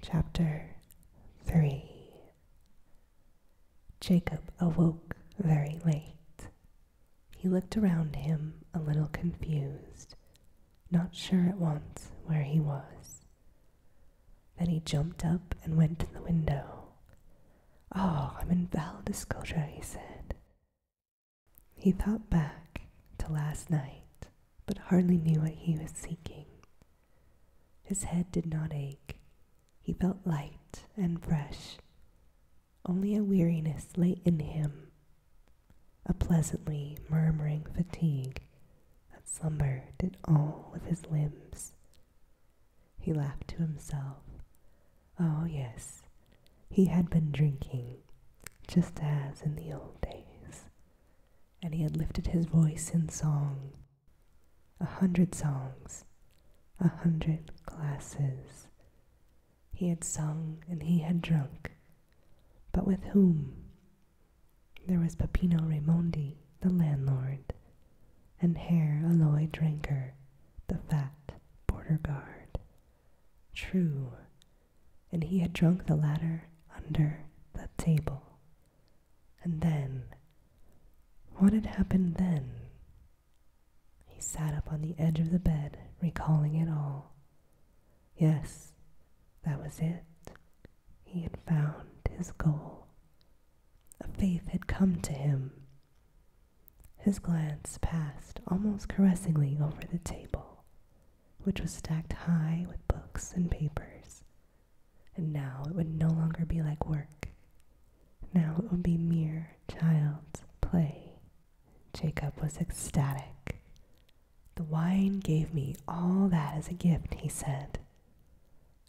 Chapter 3 Jacob awoke very late. He looked around him a little confused, not sure at once where he was. Then he jumped up and went to the window. Oh, I'm in Val he said. He thought back to last night, but hardly knew what he was seeking. His head did not ache. He felt light and fresh. Only a weariness lay in him, a pleasantly murmuring fatigue that slumber did all with his limbs. He laughed to himself. Oh, yes, he had been drinking, just as in the old days and he had lifted his voice in song. A hundred songs, a hundred glasses. He had sung and he had drunk. But with whom? There was Peppino Raimondi, the landlord, and Herr Aloy Drinker, the fat border guard. True, and he had drunk the latter under the table. And then, what had happened then? He sat up on the edge of the bed, recalling it all. Yes, that was it. He had found his goal. A faith had come to him. His glance passed almost caressingly over the table, which was stacked high with books and papers, and now it would no longer be like work. Now it would be mere child's play. Jacob was ecstatic. The wine gave me all that as a gift, he said.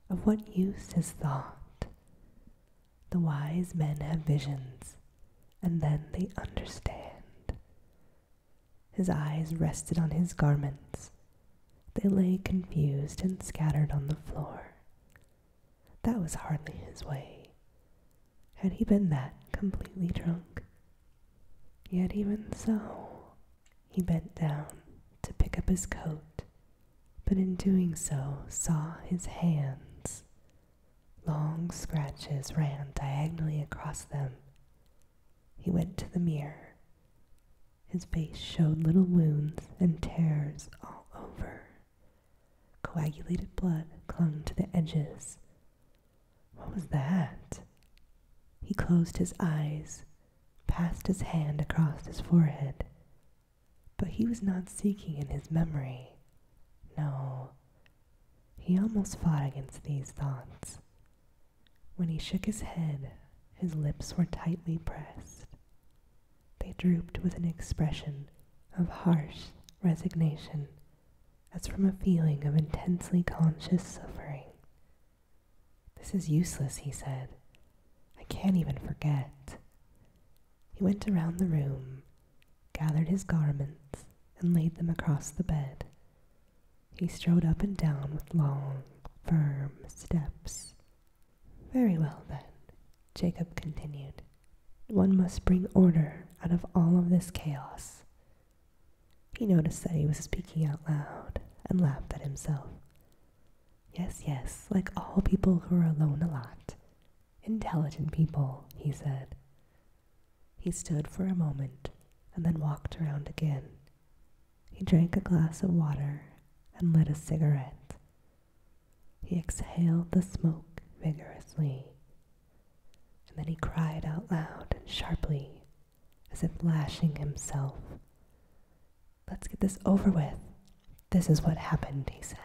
Of what use is thought? The wise men have visions, and then they understand. His eyes rested on his garments. They lay confused and scattered on the floor. That was hardly his way. Had he been that completely drunk? Yet even so, he bent down to pick up his coat, but in doing so saw his hands. Long scratches ran diagonally across them, he went to the mirror. His face showed little wounds and tears all over. Coagulated blood clung to the edges. What was that? He closed his eyes, passed his hand across his forehead. But he was not seeking in his memory. No. He almost fought against these thoughts. When he shook his head, his lips were tightly pressed. They drooped with an expression of harsh resignation, as from a feeling of intensely conscious suffering. This is useless, he said. I can't even forget. He went around the room, gathered his garments, and laid them across the bed, he strode up and down with long, firm steps. Very well, then, Jacob continued. One must bring order out of all of this chaos. He noticed that he was speaking out loud and laughed at himself. Yes, yes, like all people who are alone a lot. Intelligent people, he said. He stood for a moment and then walked around again he drank a glass of water and lit a cigarette. He exhaled the smoke vigorously. And then he cried out loud and sharply, as if lashing himself. Let's get this over with. This is what happened, he said.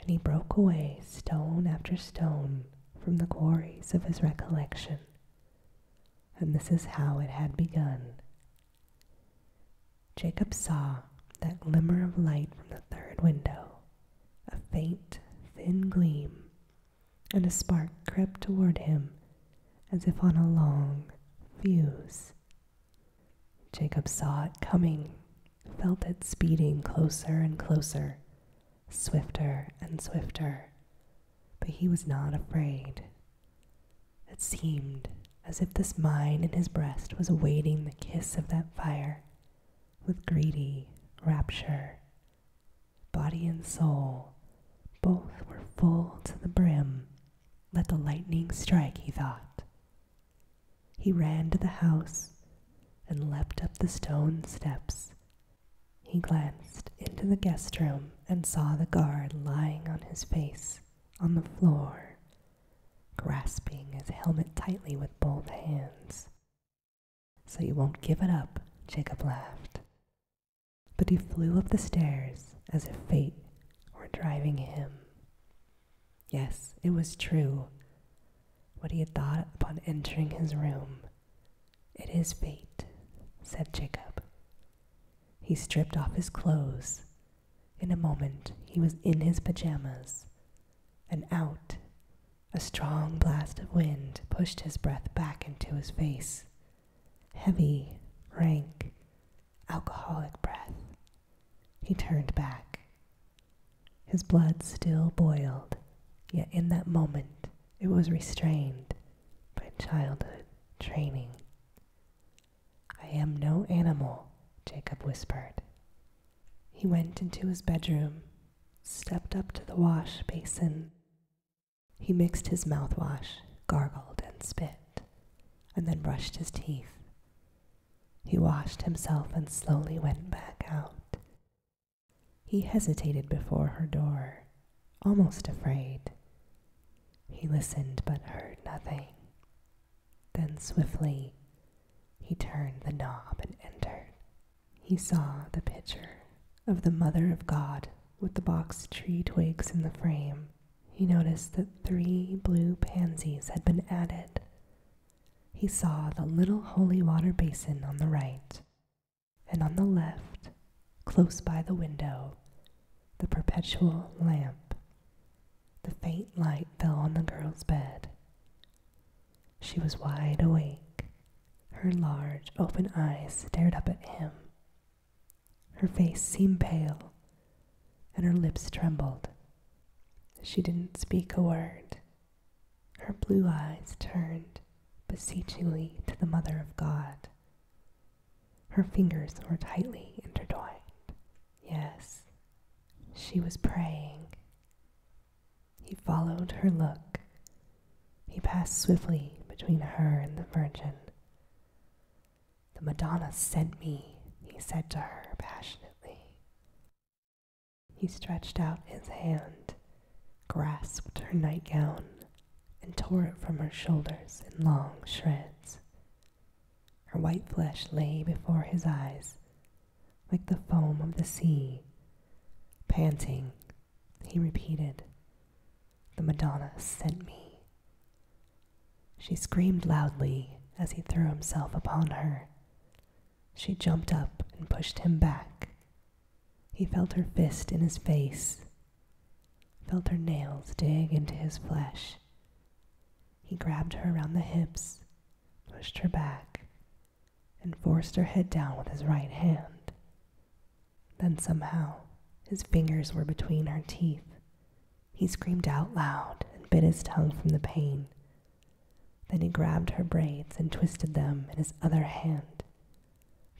And he broke away stone after stone from the quarries of his recollection and this is how it had begun. Jacob saw that glimmer of light from the third window, a faint, thin gleam, and a spark crept toward him as if on a long fuse. Jacob saw it coming, felt it speeding closer and closer, swifter and swifter, but he was not afraid. It seemed as if this mine in his breast was awaiting the kiss of that fire with greedy rapture. Body and soul, both were full to the brim. Let the lightning strike, he thought. He ran to the house and leapt up the stone steps he glanced into the guest room and saw the guard lying on his face on the floor, grasping his helmet tightly with both hands. So you won't give it up, Jacob laughed. But he flew up the stairs as if fate were driving him. Yes, it was true. What he had thought upon entering his room it is fate, said Jacob. He stripped off his clothes. In a moment, he was in his pajamas and out. A strong blast of wind pushed his breath back into his face. Heavy, rank, alcoholic breath. He turned back. His blood still boiled, yet in that moment it was restrained by childhood training. I am no animal, Jacob whispered. He went into his bedroom, stepped up to the wash basin. He mixed his mouthwash, gargled, and spit, and then brushed his teeth. He washed himself and slowly went back out. He hesitated before her door, almost afraid. He listened but heard nothing. Then swiftly he turned the knob and entered. He saw the picture of the Mother of God with the box tree twigs in the frame. He noticed that three blue pansies had been added. He saw the little holy water basin on the right and on the left, close by the window, the perpetual lamp. The faint light fell on the girl's bed. She was wide awake. Her large, open eyes stared up at him. Her face seemed pale, and her lips trembled. She didn't speak a word. Her blue eyes turned beseechingly to the Mother of God. Her fingers were tightly intertwined. Yes, she was praying. He followed her look. He passed swiftly between her and the Virgin. The Madonna sent me, he said to her passionately. He stretched out his hand grasped her nightgown, and tore it from her shoulders in long shreds. Her white flesh lay before his eyes like the foam of the sea. Panting, he repeated, The Madonna sent me. She screamed loudly as he threw himself upon her. She jumped up and pushed him back he felt her fist in his face, felt her nails dig into his flesh. He grabbed her around the hips, pushed her back, and forced her head down with his right hand. Then somehow, his fingers were between her teeth. He screamed out loud and bit his tongue from the pain. Then he grabbed her braids and twisted them in his other hand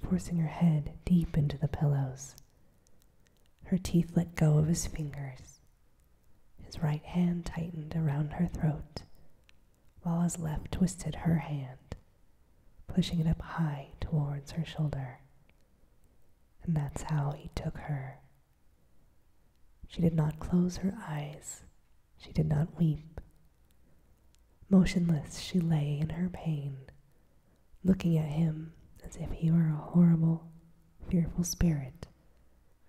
forcing her head deep into the pillows. Her teeth let go of his fingers. His right hand tightened around her throat, while his left twisted her hand, pushing it up high towards her shoulder. And that's how he took her. She did not close her eyes. She did not weep. Motionless, she lay in her pain, looking at him as if he were a horrible, fearful spirit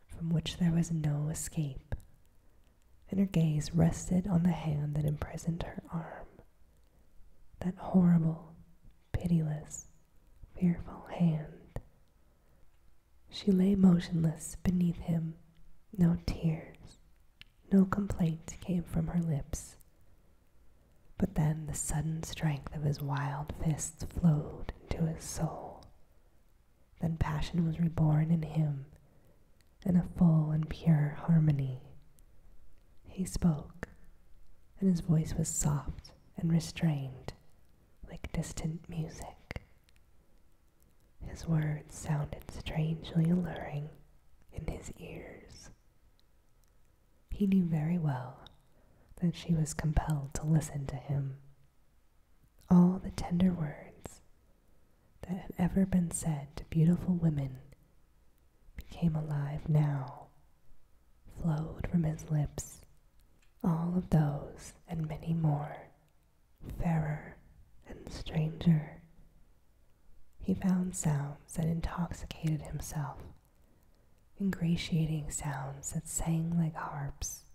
from which there was no escape, and her gaze rested on the hand that imprisoned her arm. That horrible, pitiless, fearful hand. She lay motionless beneath him, no tears, no complaint came from her lips. But then the sudden strength of his wild fists flowed into his soul. Then passion was reborn in him in a full and pure harmony. He spoke, and his voice was soft and restrained, like distant music. His words sounded strangely alluring in his ears. He knew very well that she was compelled to listen to him. All the tender words that have ever been said to beautiful women became alive now, flowed from his lips, all of those and many more, fairer and stranger he found sounds that intoxicated himself, ingratiating sounds that sang like harps.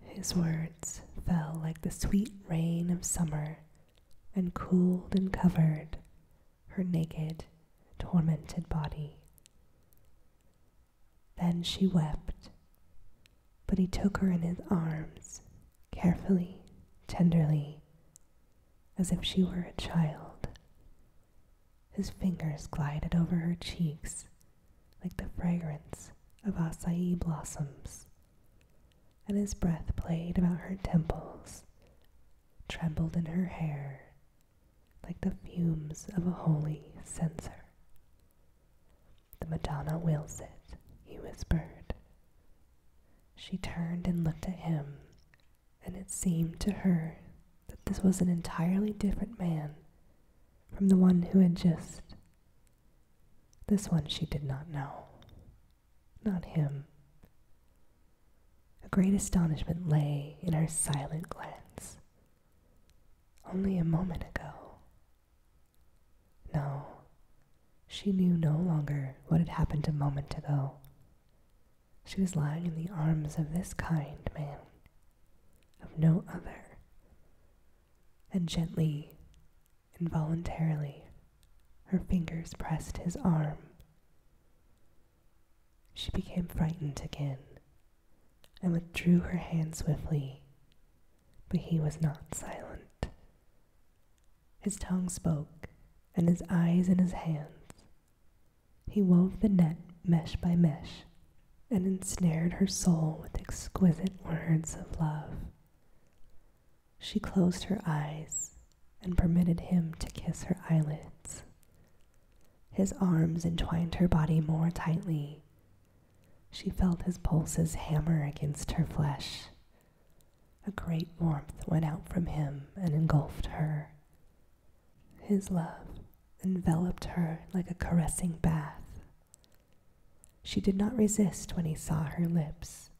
His words fell like the sweet rain of summer and cooled and covered her naked, tormented body. Then she wept, but he took her in his arms, carefully, tenderly, as if she were a child. His fingers glided over her cheeks like the fragrance of acai blossoms, and his breath played about her temples, trembled in her hair like the fumes of a holy censer. The Madonna wills it, he whispered. She turned and looked at him, and it seemed to her that this was an entirely different man from the one who had just. This one she did not know. Not him. A great astonishment lay in her silent glance. Only a moment ago. No, she knew no longer what had happened a moment ago. She was lying in the arms of this kind man, of no other. And gently, involuntarily, her fingers pressed his arm. She became frightened again and withdrew her hand swiftly, but he was not silent. His tongue spoke, and his eyes in his hands. He wove the net mesh by mesh, and ensnared her soul with exquisite words of love. She closed her eyes and permitted him to kiss her eyelids. His arms entwined her body more tightly. She felt his pulses hammer against her flesh a great warmth went out from him and engulfed her. His love enveloped her like a caressing bath. She did not resist when he saw her lips.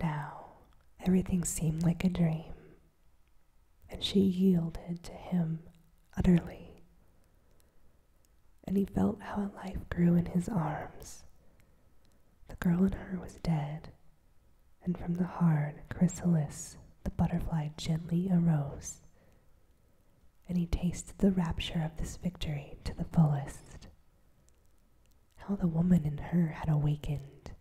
Now everything seemed like a dream, and she yielded to him utterly. And he felt how a life grew in his arms. The girl in her was dead, and from the hard chrysalis the butterfly gently arose, and he tasted the rapture of this victory to the fullest. How the woman in her had awakened!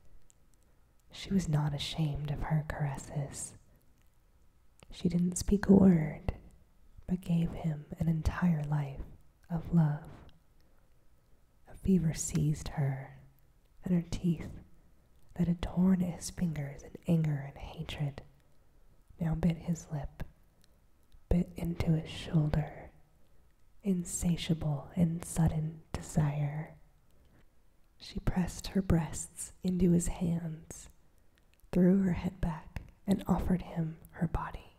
She was not ashamed of her caresses. She didn't speak a word, but gave him an entire life of love. A fever seized her, and her teeth, that had torn at his fingers in anger and hatred, now bit his lip, bit into his shoulder, insatiable and sudden desire. She pressed her breasts into his hands, threw her head back, and offered him her body.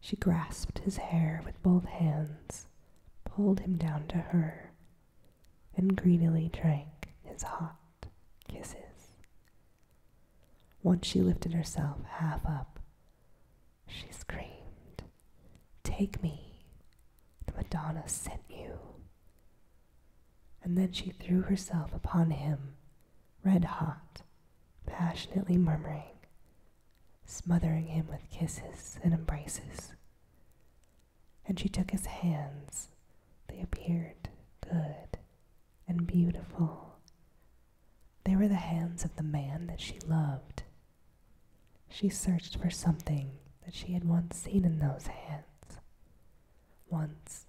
She grasped his hair with both hands, pulled him down to her, and greedily drank his hot kisses. Once she lifted herself half up, she screamed, Take me! The Madonna sent you! And then she threw herself upon him, red hot, passionately murmuring, smothering him with kisses and embraces. And she took his hands. They appeared good and beautiful. They were the hands of the man that she loved. She searched for something that she had once seen in those hands. Once,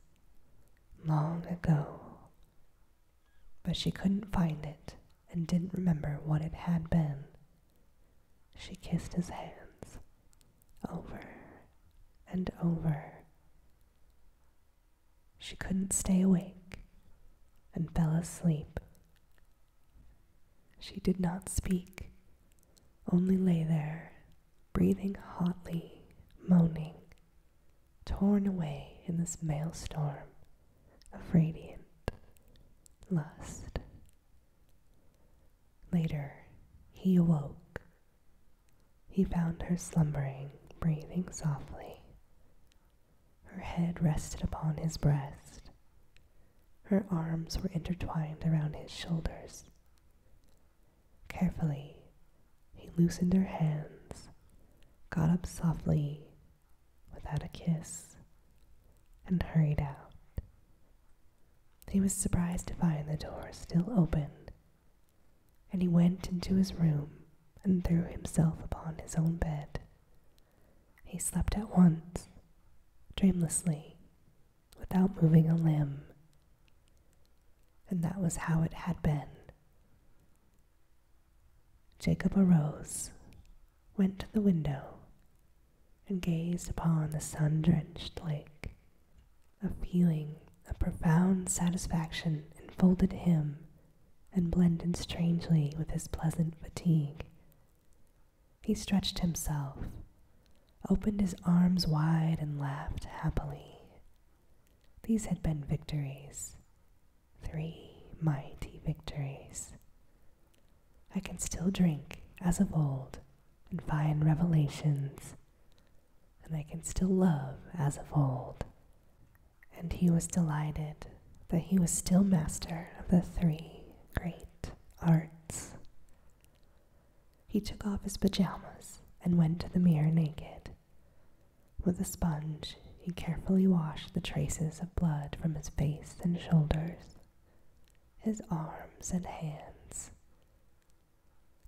long ago, but she couldn't find it and didn't remember what it had been. She kissed his hands over and over. She couldn't stay awake and fell asleep. She did not speak, only lay there, breathing hotly, moaning, torn away in this maelstrom of radiant lust. Later, he awoke. He found her slumbering, breathing softly. Her head rested upon his breast. Her arms were intertwined around his shoulders. Carefully, he loosened her hands, got up softly, without a kiss and hurried out. He was surprised to find the door still open, and he went into his room and threw himself upon his own bed. He slept at once, dreamlessly, without moving a limb. And that was how it had been. Jacob arose, went to the window, and gazed upon the sun drenched lake. A feeling of profound satisfaction enfolded him and blended strangely with his pleasant fatigue. He stretched himself, opened his arms wide, and laughed happily. These had been victories, three mighty victories. I can still drink as of old and find revelations, and I can still love as of old. And he was delighted that he was still master of the three great arts. He took off his pajamas and went to the mirror naked. With a sponge, he carefully washed the traces of blood from his face and shoulders, his arms and hands.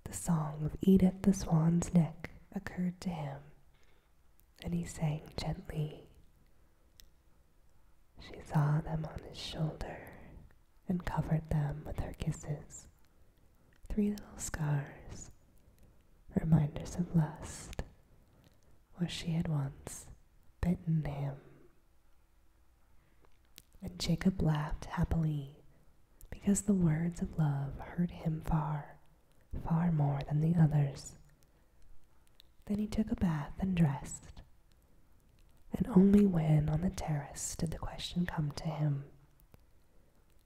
The song of Edith the Swan's Neck occurred to him, and he sang gently. She saw them on his shoulder and covered them with her kisses. Three little scars, reminders of lust where she had once bitten him. And Jacob laughed happily, because the words of love hurt him far, far more than the others. Then he took a bath and dressed. And only when on the terrace did the question come to him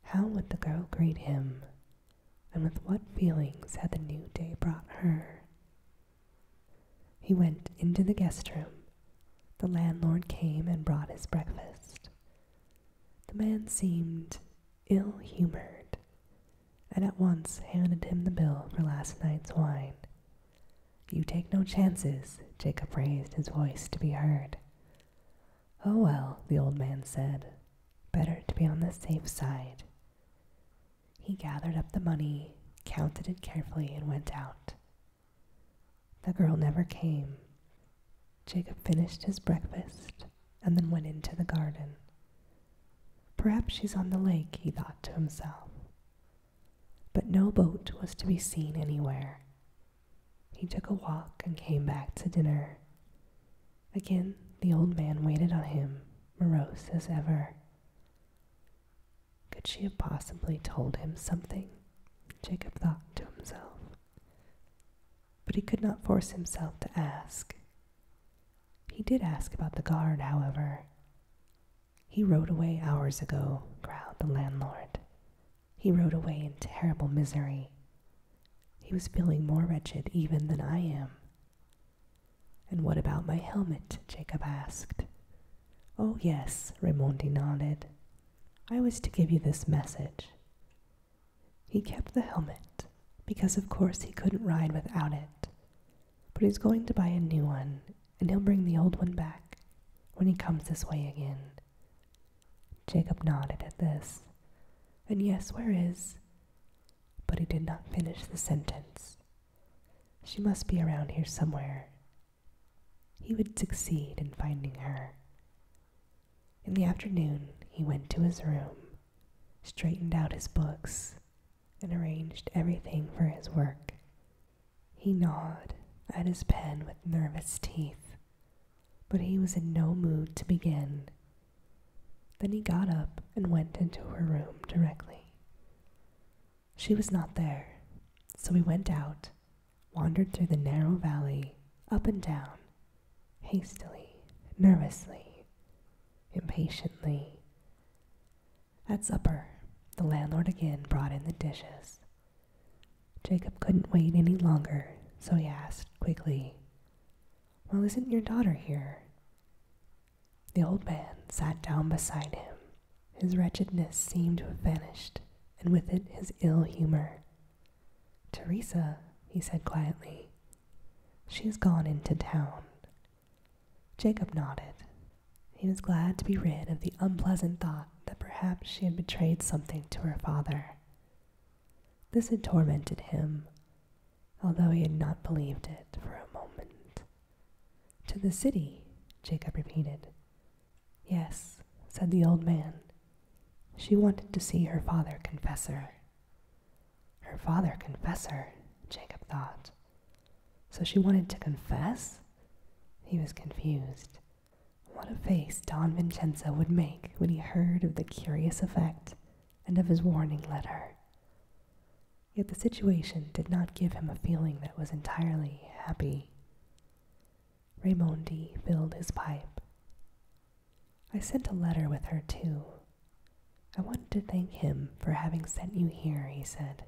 How would the girl greet him and with what feelings had the new day brought her. He went into the guest room. The landlord came and brought his breakfast. The man seemed ill humored and at once handed him the bill for last night's wine. You take no chances, Jacob raised his voice to be heard. Oh well, the old man said, better to be on the safe side he gathered up the money, counted it carefully, and went out. The girl never came. Jacob finished his breakfast and then went into the garden. Perhaps she's on the lake, he thought to himself. But no boat was to be seen anywhere. He took a walk and came back to dinner. Again, the old man waited on him, morose as ever. Could she have possibly told him something? Jacob thought to himself. But he could not force himself to ask. He did ask about the guard, however. He rode away hours ago, growled the landlord. He rode away in terrible misery. He was feeling more wretched even than I am. And what about my helmet? Jacob asked. Oh, yes, Raimondi nodded. I was to give you this message. He kept the helmet, because of course he couldn't ride without it. But he's going to buy a new one, and he'll bring the old one back when he comes this way again. Jacob nodded at this. And yes, where is? but he did not finish the sentence. She must be around here somewhere. He would succeed in finding her. In the afternoon, he went to his room, straightened out his books, and arranged everything for his work. He gnawed at his pen with nervous teeth, but he was in no mood to begin then he got up and went into her room directly. She was not there, so he went out, wandered through the narrow valley, up and down, hastily, nervously, impatiently. At supper, the landlord again brought in the dishes. Jacob couldn't wait any longer, so he asked quickly, Well, isn't your daughter here? The old man sat down beside him. His wretchedness seemed to have vanished, and with it his ill humor. Teresa, he said quietly, she's gone into town. Jacob nodded. He was glad to be rid of the unpleasant thought that perhaps she had betrayed something to her father. This had tormented him, although he had not believed it for a moment. To the city, Jacob repeated. Yes, said the old man. She wanted to see her father confessor. her. father confessor, Jacob thought. So she wanted to confess? He was confused. What a face Don Vincenzo would make when he heard of the curious effect and of his warning letter. Yet the situation did not give him a feeling that was entirely happy. Raimondi filled his pipe. I sent a letter with her, too. I wanted to thank him for having sent you here, he said.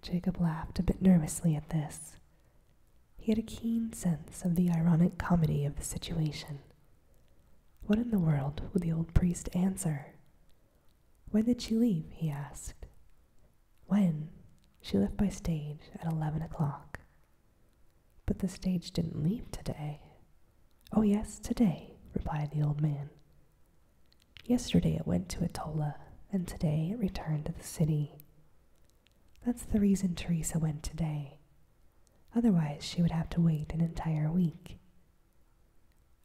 Jacob laughed a bit nervously at this. He had a keen sense of the ironic comedy of the situation, what in the world would the old priest answer? When did she leave? he asked. When? She left by stage at eleven o'clock. But the stage didn't leave today. Oh, yes, today, replied the old man. Yesterday it went to Atola, and today it returned to the city. That's the reason Teresa went today. Otherwise, she would have to wait an entire week,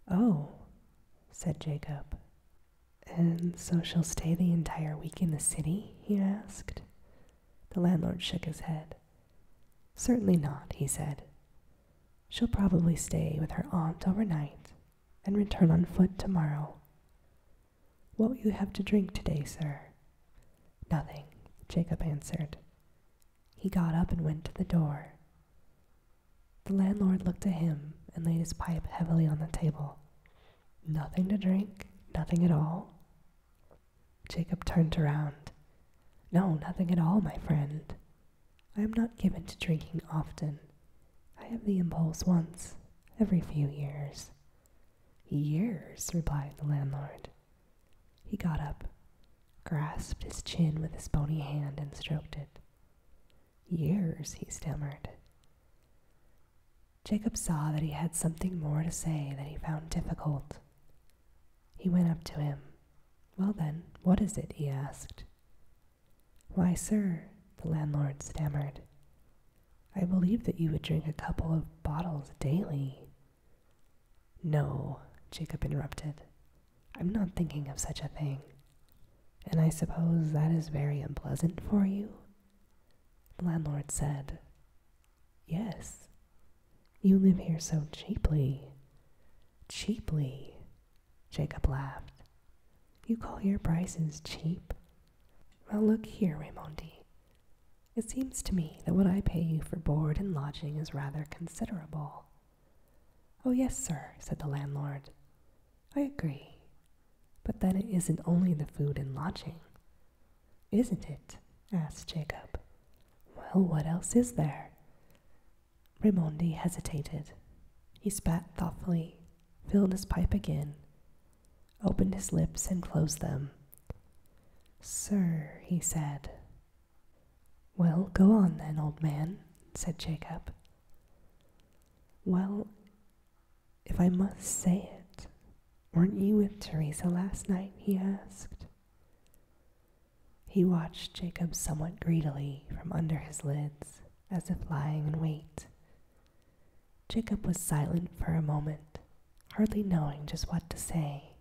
Oh, said Jacob. And so she'll stay the entire week in the city? he asked. The landlord shook his head. Certainly not, he said. She'll probably stay with her aunt overnight and return on foot tomorrow. What will you have to drink today, sir? Nothing, Jacob answered. He got up and went to the door. The landlord looked at him and laid his pipe heavily on the table. Nothing to drink? Nothing at all? Jacob turned around. No, nothing at all, my friend. I am not given to drinking often. I have the impulse once, every few years. Years, replied the landlord. He got up, grasped his chin with his bony hand, and stroked it. Years, he stammered. Jacob saw that he had something more to say that he found difficult. He went up to him. Well, then, what is it? he asked. Why, sir, the landlord stammered, I believe that you would drink a couple of bottles daily. No, Jacob interrupted. I'm not thinking of such a thing. And I suppose that is very unpleasant for you? The landlord said, Yes. You live here so cheaply. Cheaply, Jacob laughed. You call your prices cheap? Well, look here, Raimondi. It seems to me that what I pay you for board and lodging is rather considerable. Oh, yes, sir, said the landlord. I agree. But then it isn't only the food and lodging. Isn't it? asked Jacob. Well, what else is there? Raimondi hesitated. He spat thoughtfully, filled his pipe again, opened his lips and closed them. Sir, he said, well, go on then, old man, said Jacob. Well, if I must say it, weren't you with Teresa last night? he asked. He watched Jacob somewhat greedily from under his lids, as if lying in wait. Jacob was silent for a moment, hardly knowing just what to say.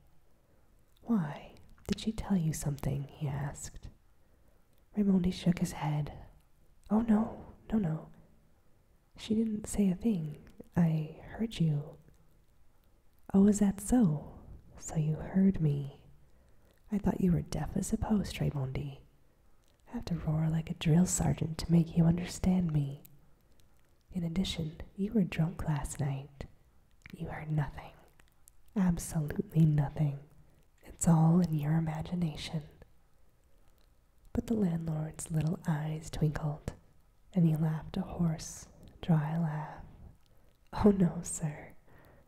Why? Did she tell you something? he asked. Raimondi shook his head. Oh, no, no, no. She didn't say a thing. I heard you. Oh, is that so? So you heard me. I thought you were deaf as a post, Raimondi. I have to roar like a drill sergeant to make you understand me. In addition, you were drunk last night. You heard nothing. Absolutely nothing. It's all in your imagination. But the landlord's little eyes twinkled, and he laughed a hoarse, dry laugh. Oh no, sir,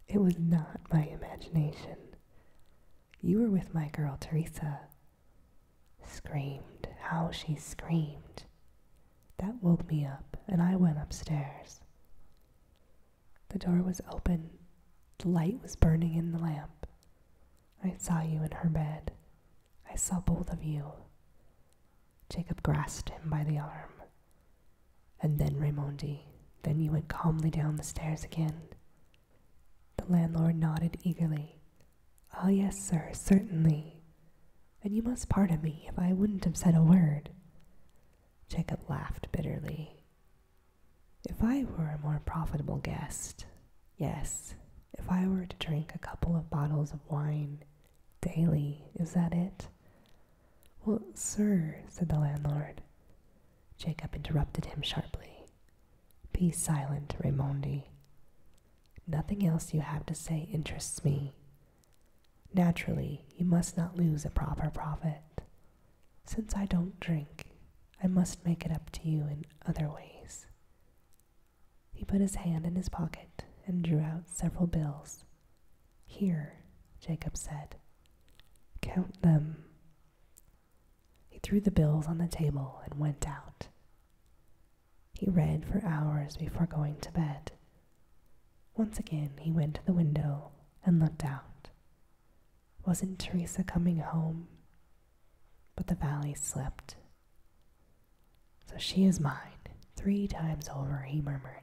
it was not my imagination. You were with my girl, Teresa. Screamed, how she screamed. That woke me up, and I went upstairs. The door was open. The light was burning in the lamp. I saw you in her bed. I saw both of you. Jacob grasped him by the arm. And then Raimondi. Then you went calmly down the stairs again. The landlord nodded eagerly. Ah, yes, sir, certainly. And you must pardon me if I wouldn't have said a word. Jacob laughed bitterly. If I were a more profitable guest, yes, if I were to drink a couple of bottles of wine daily, is that it? Well, sir, said the landlord. Jacob interrupted him sharply. Be silent, Raimondi. Nothing else you have to say interests me. Naturally, you must not lose a proper profit. Since I don't drink, I must make it up to you in other ways. He put his hand in his pocket and drew out several bills. Here, Jacob said. Count them. He threw the bills on the table and went out. He read for hours before going to bed. Once again he went to the window and looked out. Wasn't Teresa coming home? But the valley slept. So she is mine, three times over, he murmured.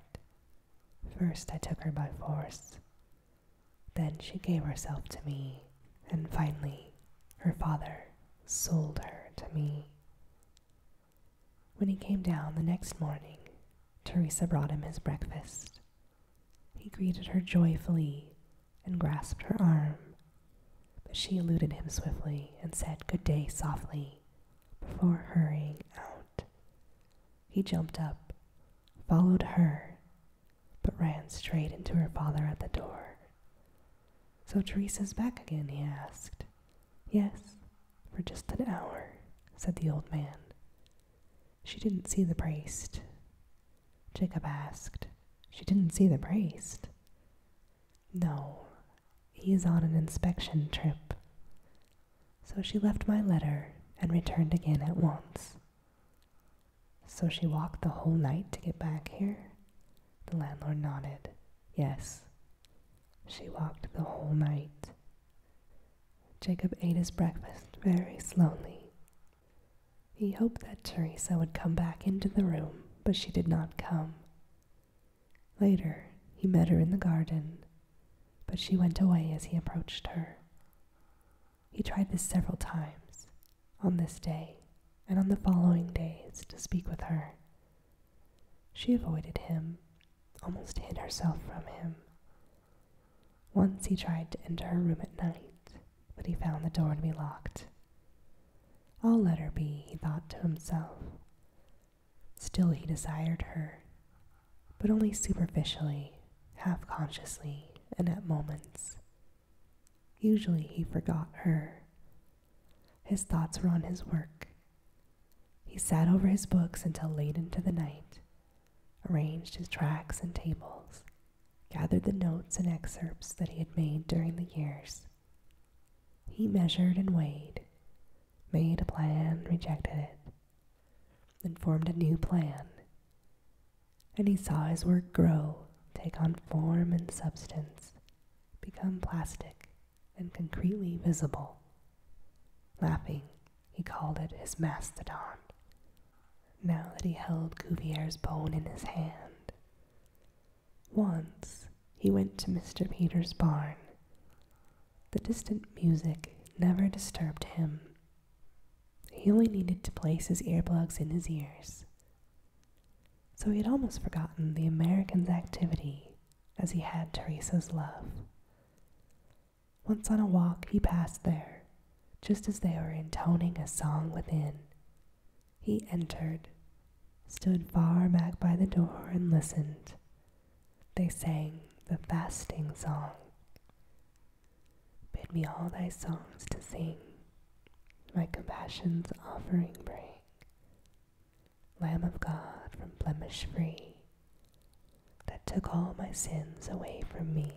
First I took her by force. Then she gave herself to me, and finally her father sold her to me. When he came down the next morning, Teresa brought him his breakfast. He greeted her joyfully and grasped her arm, but she eluded him swiftly and said good day softly before hurrying out. He jumped up, followed her, but ran straight into her father at the door. So Teresa's back again, he asked, Yes, for just an hour, said the old man. She didn't see the priest. Jacob asked. She didn't see the priest. No, he's on an inspection trip. So she left my letter and returned again at once. So she walked the whole night to get back here? The landlord nodded. Yes. She walked the whole night. Jacob ate his breakfast very slowly. He hoped that Teresa would come back into the room, but she did not come. Later, he met her in the garden, but she went away as he approached her. He tried this several times, on this day and on the following days, to speak with her. She avoided him almost hid herself from him. Once he tried to enter her room at night, but he found the door to be locked. I'll let her be, he thought to himself. Still, he desired her, but only superficially, half consciously, and at moments. Usually, he forgot her. His thoughts were on his work he sat over his books until late into the night, arranged his tracts and tables, gathered the notes and excerpts that he had made during the years. He measured and weighed, made a plan, rejected it, then formed a new plan. And he saw his work grow, take on form and substance, become plastic and concretely visible. Laughing, he called it his mastodon. Now that he held Cuvier's bone in his hand. Once he went to Mr. Peter's barn. The distant music never disturbed him. He only needed to place his earplugs in his ears. So he had almost forgotten the American's activity as he had Teresa's love. Once on a walk, he passed there, just as they were intoning a song within. He entered, stood far back by the door, and listened. They sang the fasting song. Bid me all thy songs to sing, my compassion's offering bring. Lamb of God from blemish free, that took all my sins away from me.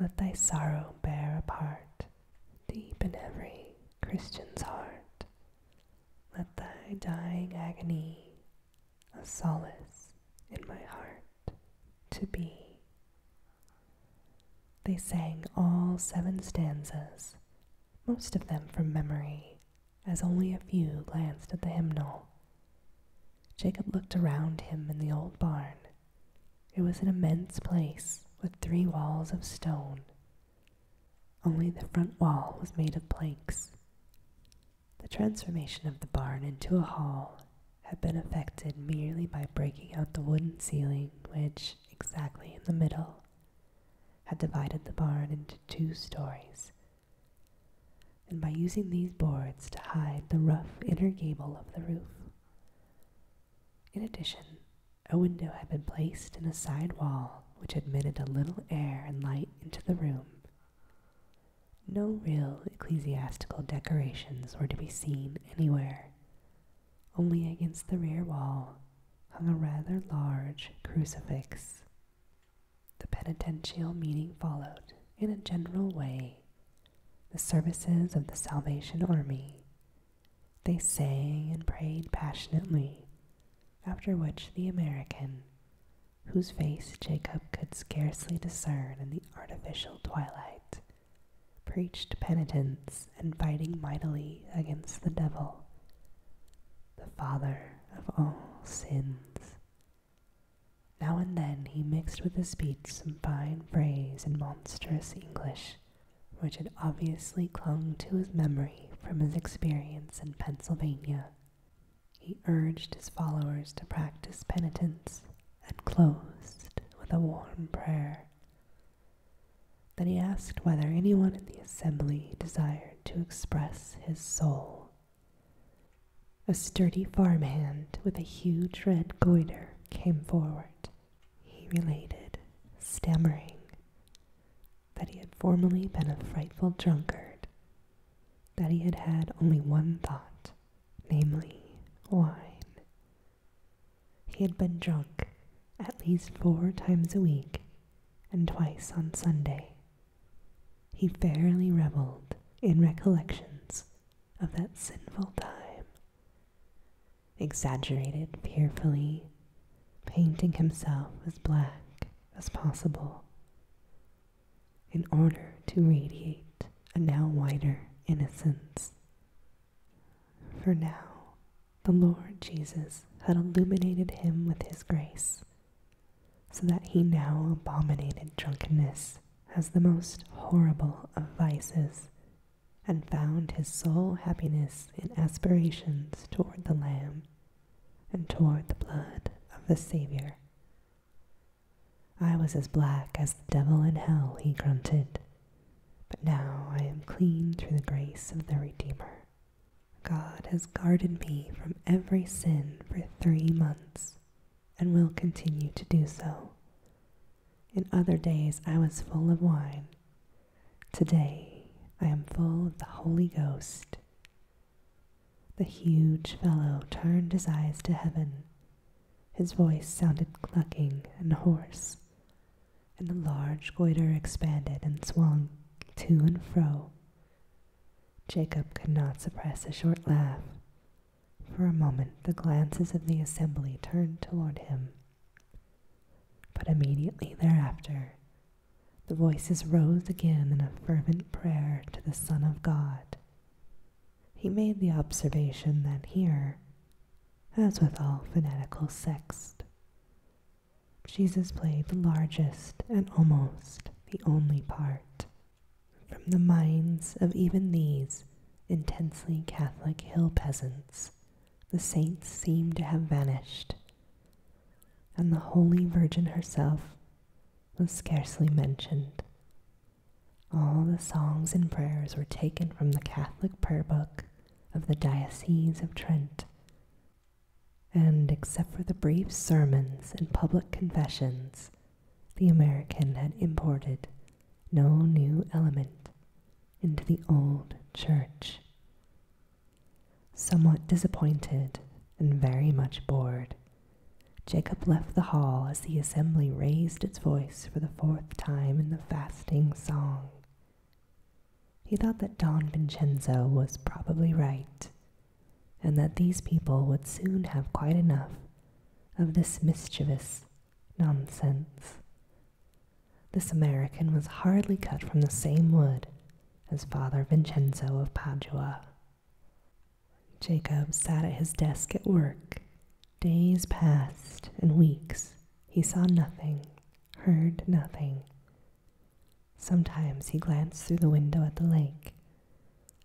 Let thy sorrow bear a part deep in every Christian's heart. Let thy dying agony a solace in my heart to be. They sang all seven stanzas, most of them from memory, as only a few glanced at the hymnal. Jacob looked around him in the old barn. It was an immense place with three walls of stone. Only the front wall was made of planks. The transformation of the barn into a hall had been effected merely by breaking out the wooden ceiling, which, exactly in the middle, had divided the barn into two stories and by using these boards to hide the rough inner gable of the roof. In addition, a window had been placed in a side wall which admitted a little air and light into the room. No real ecclesiastical decorations were to be seen anywhere. Only against the rear wall hung a rather large crucifix the penitential meeting followed, in a general way, the services of the Salvation Army. They sang and prayed passionately, after which the American, whose face Jacob could scarcely discern in the artificial twilight, preached penitence and fighting mightily against the devil, the father of all sins. Now and then he mixed with his speech some fine phrase in monstrous English, which had obviously clung to his memory from his experience in Pennsylvania. He urged his followers to practice penitence and closed with a warm prayer. Then he asked whether anyone in the assembly desired to express his soul a sturdy farmhand with a huge red goiter came forward. He related, stammering, that he had formerly been a frightful drunkard, that he had had only one thought, namely wine. He had been drunk at least four times a week and twice on Sunday. He fairly reveled in recollections of that sinful time, exaggerated fearfully, painting himself as black as possible in order to radiate a now whiter innocence. For now, the Lord Jesus had illuminated him with his grace so that he now abominated drunkenness as the most horrible of vices, and found his sole happiness in aspirations toward the Lamb and toward the blood of the Saviour. I was as black as the devil in hell, he grunted, but now I am clean through the grace of the Redeemer. God has guarded me from every sin for three months and will continue to do so. In other days I was full of wine. Today I am full of the Holy Ghost. The huge fellow turned his eyes to heaven. His voice sounded clucking and hoarse, and the large goiter expanded and swung to and fro Jacob could not suppress a short laugh. For a moment the glances of the assembly turned toward him. But immediately thereafter, the voices rose again in a fervent prayer to the Son of God. He made the observation that here, as with all fanatical sects, Jesus played the largest and almost the only part, from the minds of even these intensely Catholic hill peasants, the saints seemed to have vanished, and the Holy Virgin herself was scarcely mentioned. All the songs and prayers were taken from the Catholic prayer book of the Diocese of Trent, and except for the brief sermons and public confessions, the American had imported no new element into the old church. Somewhat disappointed and very much bored, Jacob left the hall as the assembly raised its voice for the fourth time in the fasting song. He thought that Don Vincenzo was probably right and that these people would soon have quite enough of this mischievous nonsense. This American was hardly cut from the same wood as Father Vincenzo of Padua. Jacob sat at his desk at work. Days passed and weeks. He saw nothing, heard nothing. Sometimes he glanced through the window at the lake,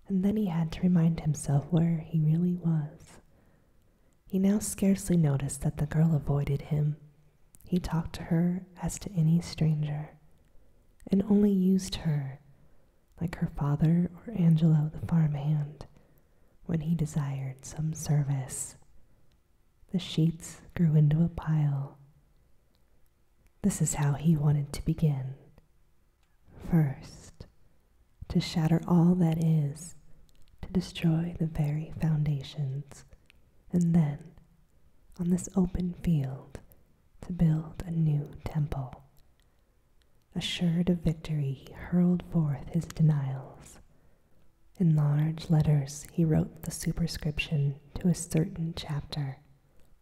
and then he had to remind himself where he really was. He now scarcely noticed that the girl avoided him. He talked to her as to any stranger, and only used her, like her father or Angelo the farmhand, when he desired some service. The sheets grew into a pile. This is how he wanted to begin. First, to shatter all that is, to destroy the very foundations, and then, on this open field, to build a new temple. Assured of victory, he hurled forth his denials. In large letters, he wrote the superscription to a certain chapter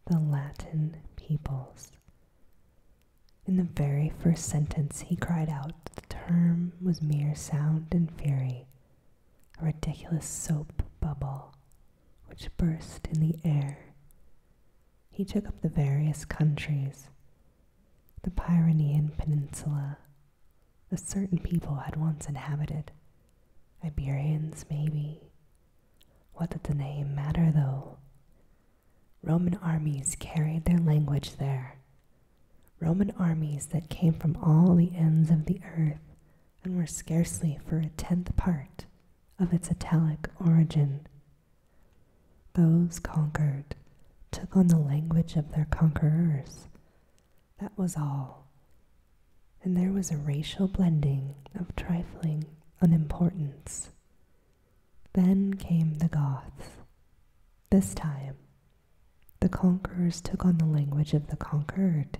the Latin peoples. In the very first sentence, he cried out that the term was mere sound and fury, a ridiculous soap bubble which burst in the air. He took up the various countries, the Pyrenean Peninsula, a certain people had once inhabited, Iberians maybe, what did the name matter, though? Roman armies carried their language there. Roman armies that came from all the ends of the earth and were scarcely for a tenth part of its Italic origin. Those conquered took on the language of their conquerors. That was all. And there was a racial blending of trifling an importance. Then came the Goths. This time, the conquerors took on the language of the conquered.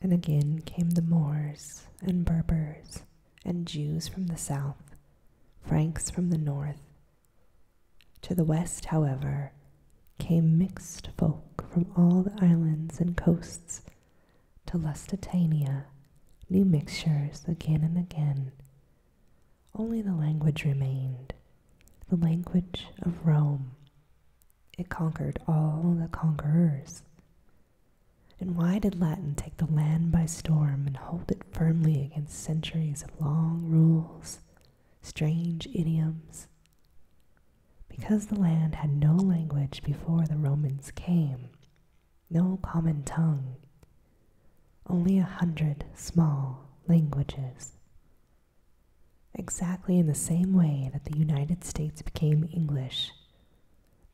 And again came the Moors and Berbers and Jews from the south, Franks from the north. To the west, however, came mixed folk from all the islands and coasts to Lusitania, new mixtures again and again. Only the language remained, the language of Rome. It conquered all the conquerors. And why did Latin take the land by storm and hold it firmly against centuries of long rules, strange idioms? Because the land had no language before the Romans came, no common tongue, only a hundred small languages. Exactly in the same way that the United States became English,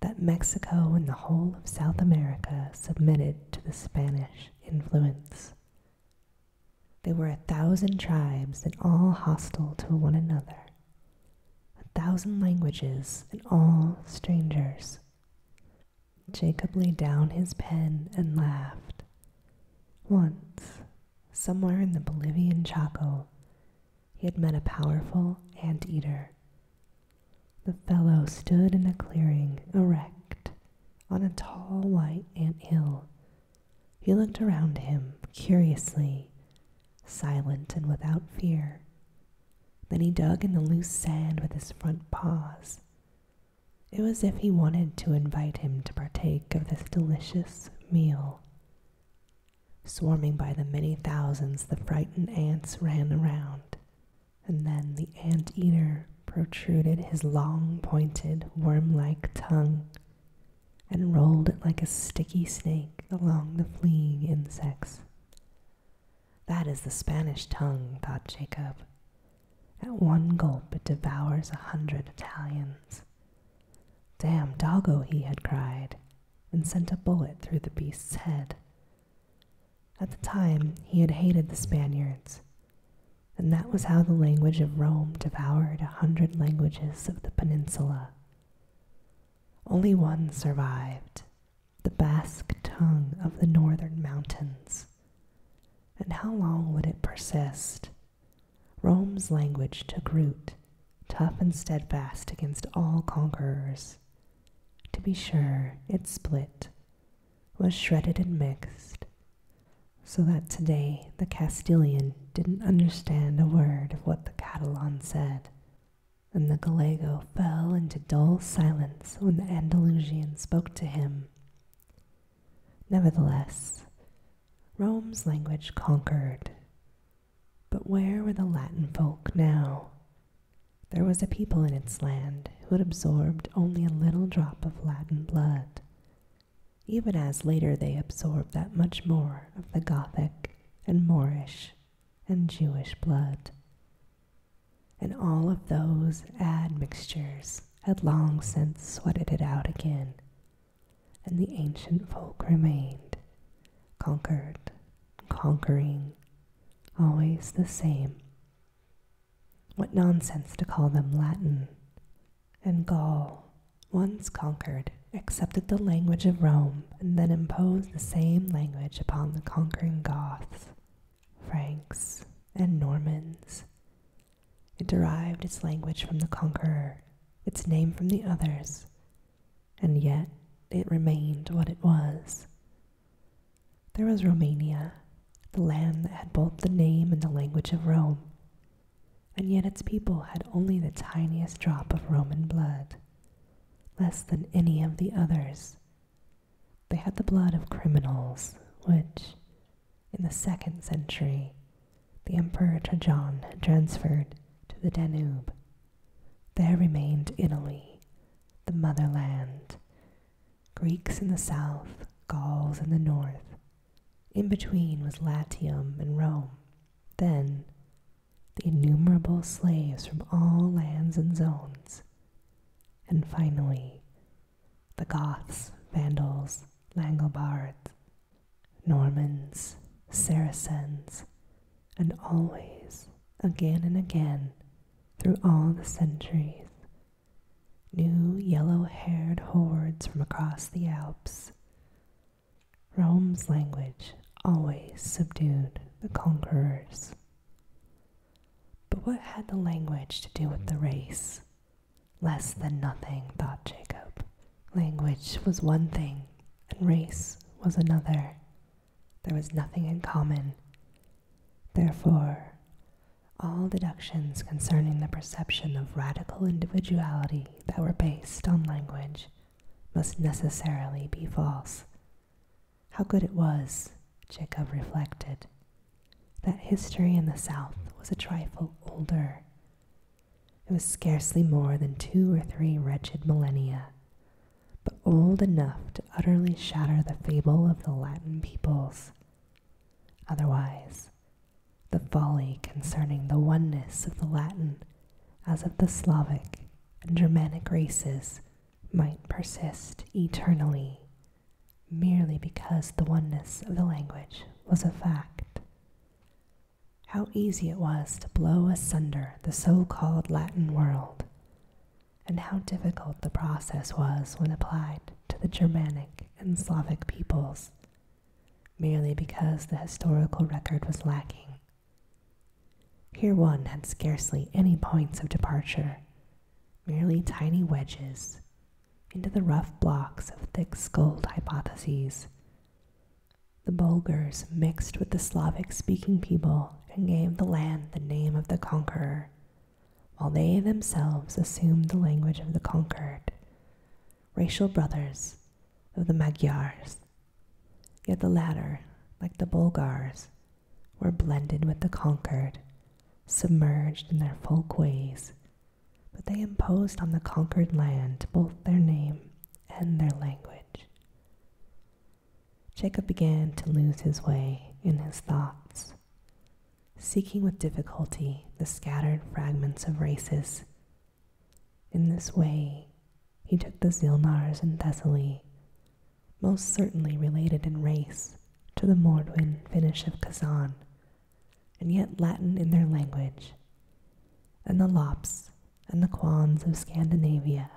that Mexico and the whole of South America submitted to the Spanish influence. There were a thousand tribes and all hostile to one another, a thousand languages, and all strangers. Jacob laid down his pen and laughed. Once, somewhere in the Bolivian Chaco, he had met a powerful ant eater. The fellow stood in a clearing, erect, on a tall white ant hill. He looked around him curiously silent and without fear. Then he dug in the loose sand with his front paws. It was as if he wanted to invite him to partake of this delicious meal. Swarming by the many thousands, the frightened ants ran around, and then the ant eater protruded his long, pointed, worm like tongue and rolled it like a sticky snake along the fleeing insects. That is the Spanish tongue, thought Jacob. At one gulp it devours a hundred Italians. Damn doggo, he had cried, and sent a bullet through the beast's head. At the time, he had hated the Spaniards, and that was how the language of Rome devoured a hundred languages of the peninsula. Only one survived the Basque tongue of the northern mountains. And how long would it persist? Rome's language took root, tough and steadfast against all conquerors. To be sure, it split, was shredded and mixed, so that today the Castilian didn't understand a word of what the Catalan said and the Gallego fell into dull silence when the Andalusian spoke to him. Nevertheless, Rome's language conquered. But where were the Latin folk now? There was a people in its land who had absorbed only a little drop of Latin blood, even as later they absorbed that much more of the Gothic and Moorish and Jewish blood. And all of those admixtures had long since sweated it out again, and the ancient folk remained, conquered, conquering, always the same. What nonsense to call them Latin and Gaul, once conquered, accepted the language of Rome, and then imposed the same language upon the conquering Goths, Franks, and Normans. It derived its language from the conqueror, its name from the others, and yet it remained what it was. There was Romania, the land that had both the name and the language of Rome, and yet its people had only the tiniest drop of Roman blood less than any of the others. They had the blood of criminals, which, in the second century, the Emperor Trajan had transferred to the Danube. There remained Italy, the motherland, Greeks in the south, Gauls in the north. In between was Latium and Rome. Then, the innumerable slaves from all lands and zones, and finally, the Goths, Vandals, Langobards, Normans, Saracens, and always, again and again, through all the centuries, new yellow haired hordes from across the Alps, Rome's language always subdued the conquerors. But what had the language to do with the race? Less than nothing, thought Jacob. Language was one thing, and race was another. There was nothing in common. Therefore, all deductions concerning the perception of radical individuality that were based on language must necessarily be false. How good it was, Jacob reflected, that history in the South was a trifle older. It was scarcely more than two or three wretched millennia, but old enough to utterly shatter the fable of the Latin peoples. Otherwise, the folly concerning the oneness of the Latin as of the Slavic and Germanic races might persist eternally merely because the oneness of the language was a fact. How easy it was to blow asunder the so called Latin world, and how difficult the process was when applied to the Germanic and Slavic peoples, merely because the historical record was lacking here one had scarcely any points of departure, merely tiny wedges into the rough blocks of thick skulled hypotheses. The Bulgars mixed with the Slavic speaking people and gave the land the name of the conqueror, while they themselves assumed the language of the conquered, racial brothers of the Magyars Yet the latter, like the Bulgars, were blended with the conquered, submerged in their folk ways, but they imposed on the conquered land both their name and their language. Jacob began to lose his way in his thoughts, seeking with difficulty the scattered fragments of races in this way, he took the Zilnars in Thessaly, most certainly related in race to the Mordwin Finnish of Kazan, and yet Latin in their language, and the Lapps and the Quans of Scandinavia,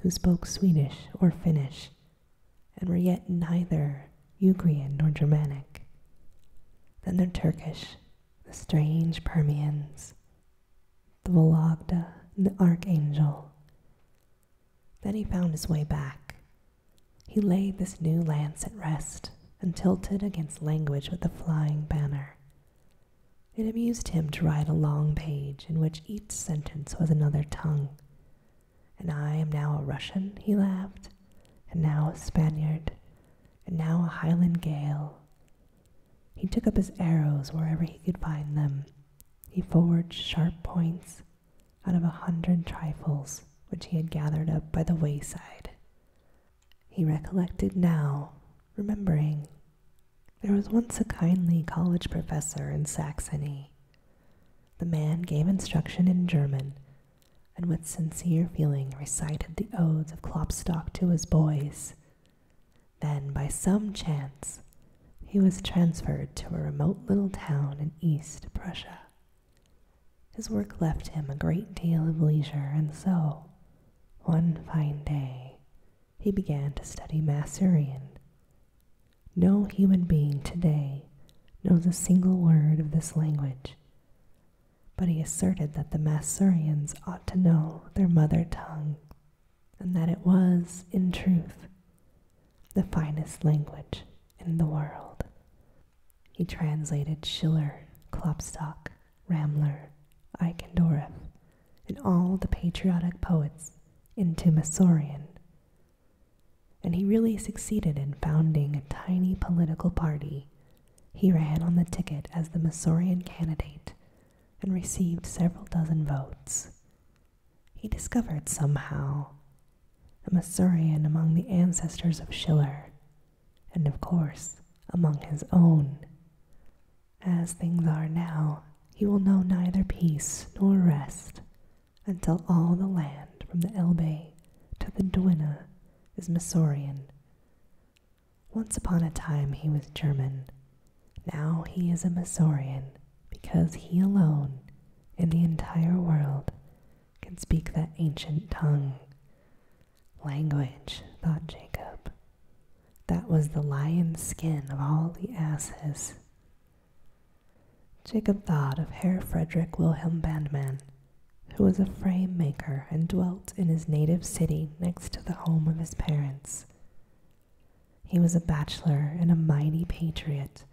who spoke Swedish or Finnish, and were yet neither Ugrian nor Germanic. Then the Turkish, the strange Permians, the Vologda, and the Archangel. Then he found his way back. He laid this new lance at rest and tilted against language with the flying banner. It amused him to write a long page in which each sentence was another tongue. And I am now a Russian, he laughed, and now a Spaniard, and now a Highland Gael. He took up his arrows wherever he could find them. He forged sharp points out of a hundred trifles which he had gathered up by the wayside. He recollected now, remembering, there was once a kindly college professor in Saxony. The man gave instruction in German and with sincere feeling recited the odes of Klopstock to his boys then, by some chance, he was transferred to a remote little town in East Prussia. His work left him a great deal of leisure, and so, one fine day, he began to study Masurian. No human being today knows a single word of this language, but he asserted that the Masurians ought to know their mother tongue and that it was, in truth, the finest language in the world. He translated Schiller, Klopstock, Ramler, Eichendorff, and all the patriotic poets into Massourian. And he really succeeded in founding a tiny political party. He ran on the ticket as the Massourian candidate and received several dozen votes. He discovered somehow a Missourian among the ancestors of Schiller, and of course among his own. As things are now, he will know neither peace nor rest until all the land from the Elbe to the Dwina is Missourian, once upon a time he was German. Now he is a Masorean because he alone in the entire world can speak that ancient tongue. Language, thought Jacob. That was the lion's skin of all the asses. Jacob thought of Herr Frederick Wilhelm Bandmann, who was a frame maker and dwelt in his native city next to the home of his parents. He was a bachelor and a mighty patriot,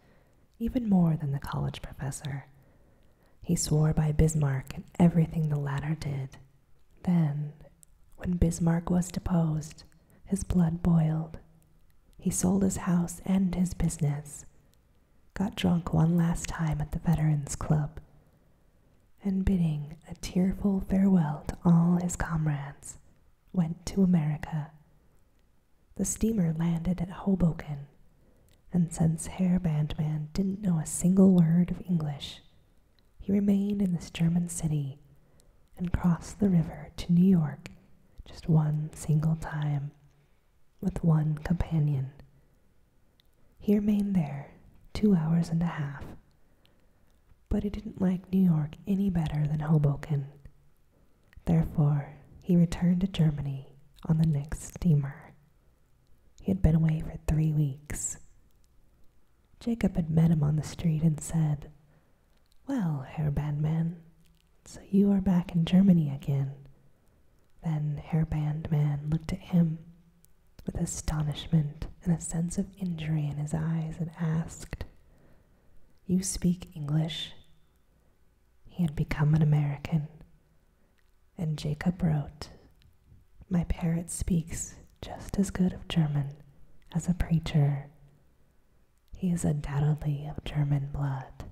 even more than the college professor. He swore by Bismarck and everything the latter did. Then, when Bismarck was deposed, his blood boiled. He sold his house and his business, got drunk one last time at the Veterans Club, and bidding a tearful farewell to all his comrades, went to America. The steamer landed at Hoboken, and since Herr Bandmann didn't know a single word of English, he remained in this German city and crossed the river to New York just one single time with one companion. He remained there two hours and a half but he didn't like New York any better than Hoboken. Therefore, he returned to Germany on the next steamer. He had been away for three weeks. Jacob had met him on the street and said, Well, Herr man, so you are back in Germany again. Then Herr man looked at him with astonishment and a sense of injury in his eyes, and asked, You speak English? He had become an American. And Jacob wrote, My parrot speaks just as good of German as a preacher. He is undoubtedly of German blood.